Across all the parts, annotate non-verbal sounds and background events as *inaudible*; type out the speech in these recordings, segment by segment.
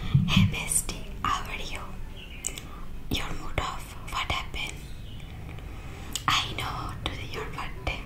Hey bestie, how are you? Your mood off, what happened? I know today your birthday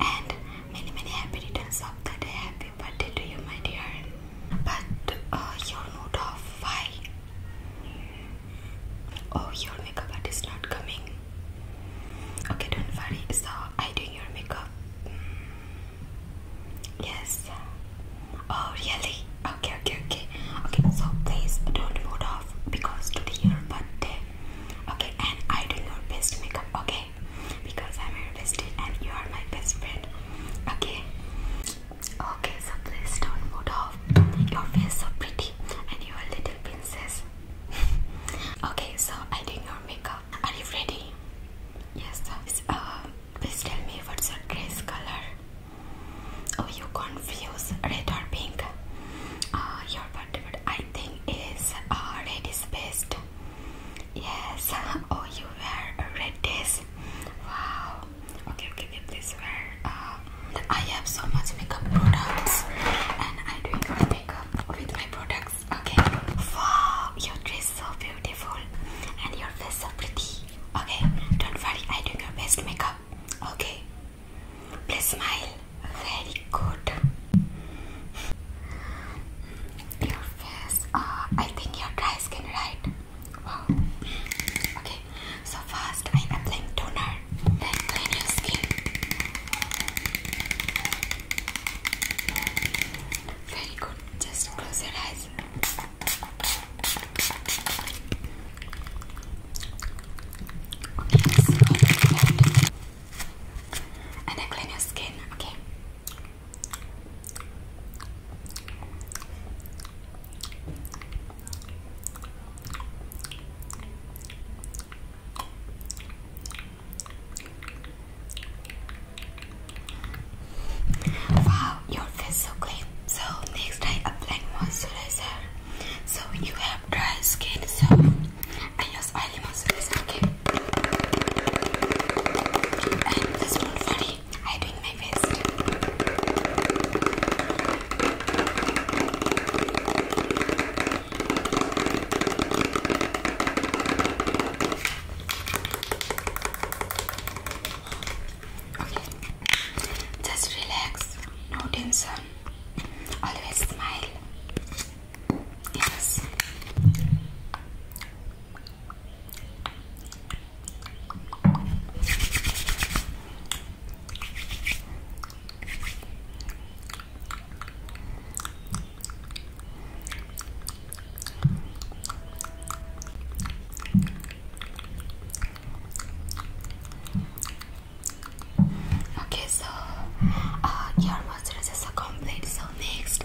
and many many happy returns of the Happy birthday to you my dear. But uh, your mood off, why? Oh, your makeup is not coming. Okay, don't worry. So I doing your makeup. Yes. Oh, really? Okay, okay, okay. Okay, so please don't move off because today your birthday. Okay, and I do your best makeup, okay? Because I'm your bestie and you are my best friend. Okay? Okay, so please don't move off. Your face so pretty and you are little princess. *laughs* okay, so I do your makeup. Are you ready? Yes, Uh, Please tell me what's your dress color. Oh, you confuse red or pink. Uh, your birthday, I think ah, is uh, red Yes. *laughs* Oh, you wear a red dress. Wow. Okay, okay, okay. Please wear. Uh, I have so much makeup products, and I do my makeup with my products. Okay. Wow, your dress so beautiful, and your face so pretty. Okay, don't worry, I do your best makeup. Okay, please smile. Very good. Your face, uh, I think your dry skin, right? Wow. Okay, so first I'm applying toner, then clean your skin. Very good. Just close your eyes. And I clean your skin, okay? Wow, your face so clean. So next I apply moisturizer. So you have dry skin, so I use oily moisturizer. Okay. And this one funny, I doing my best. Just relax. No tension. Always smile. Yes. Okay, so uh, your moisturizer is complete. So next,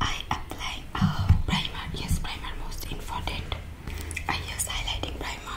I apply a uh, primer. Yes, primer most important. I use highlighting primer.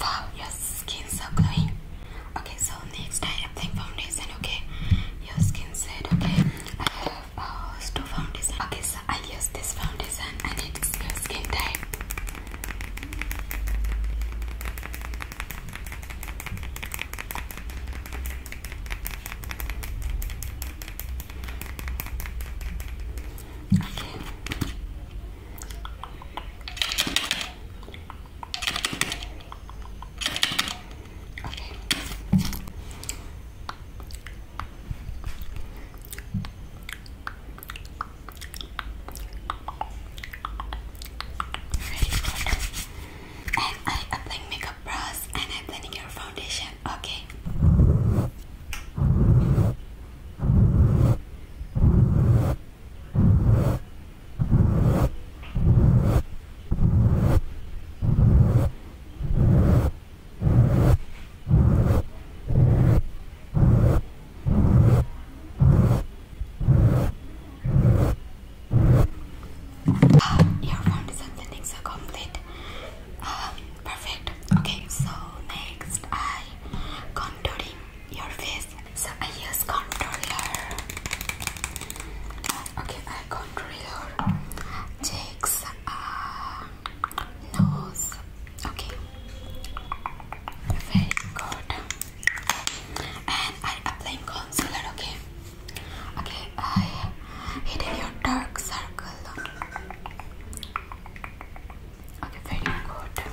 Wow, your skin's so glowing. Okay, so next I apply foundation. Okay, your skin said okay. I have uh, two foundation. Okay, so I use this foundation and it's your skin type. Okay. Ready, And I apply makeup brush and I apply your foundation. Okay. Uh, your foundation thinnings complete. Um, perfect. Okay, so next I Controlling your face. So I use controller. Okay, I controller cheeks, uh, nose. Okay, very good. And I'm applying concealer. Okay, okay, I hidden your dark circle. Okay, very good.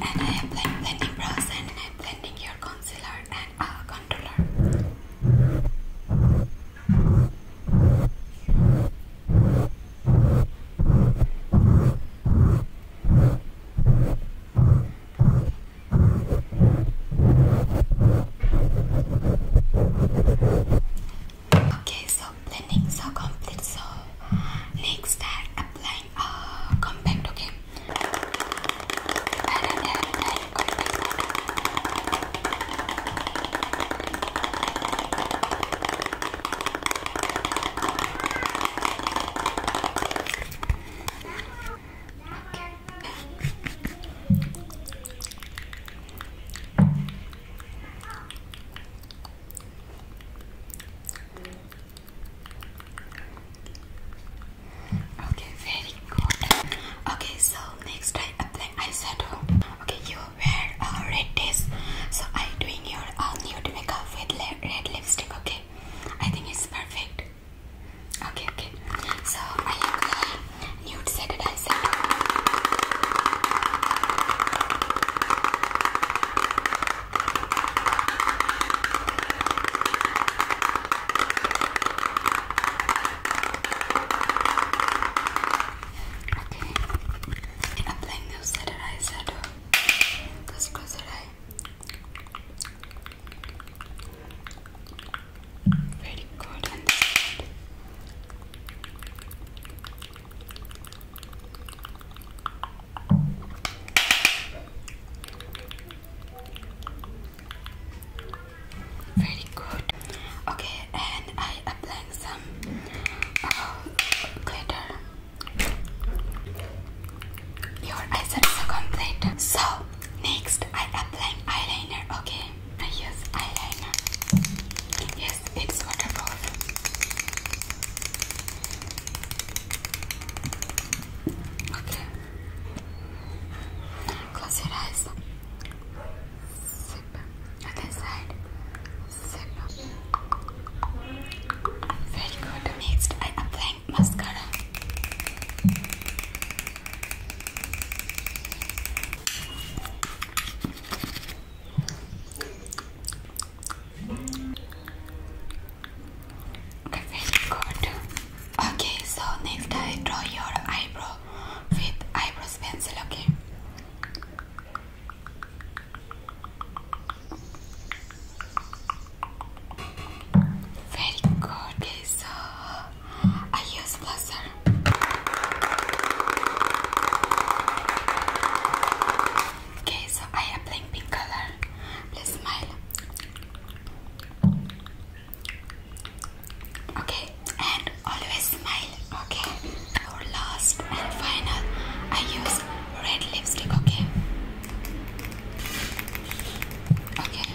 And I am applying blending brush and I am blending your concealer and uh, controller. Okay, so blending is so complete. So next, start applying uh, compact. Okay. Okay, very good. Okay, so next I apply eyeshadow. Okay, you wear a uh, red dress, so I doing your uh, nude makeup with red lipstick. Okay, I think it's perfect. Okay, okay. So I apply nude set eyeshadow. Okay, and applying the cedar eye shadow. Cause close your eye. Very good. Very good. Okay, and I applying some uh, glitter. Your eyes are so complete. So next, I apply eyeliner. Okay, I use eyeliner it's wonderful. Okay. Close your eyes. Sip. Other side. Sip. Very good. Next, I am applying mascara. Very good. Okay, so next I draw your eyebrow with eyebrows pencil, okay? Very good, okay, so I use blaster. Okay, so I am playing pink color. Please smile. Okay, and always smile. Okay, our last and final, I use red lipstick. Okay, okay.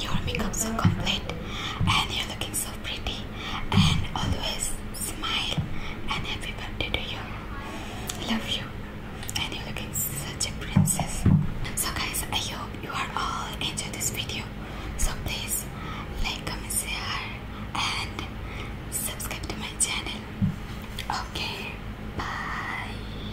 Your makeup so complete and you're looking so pretty and always smile and happy birthday to you. Love you and you're looking such a princess. So guys I hope you are all enjoy this video. So please like, comment, share and subscribe to my channel. Okay, bye.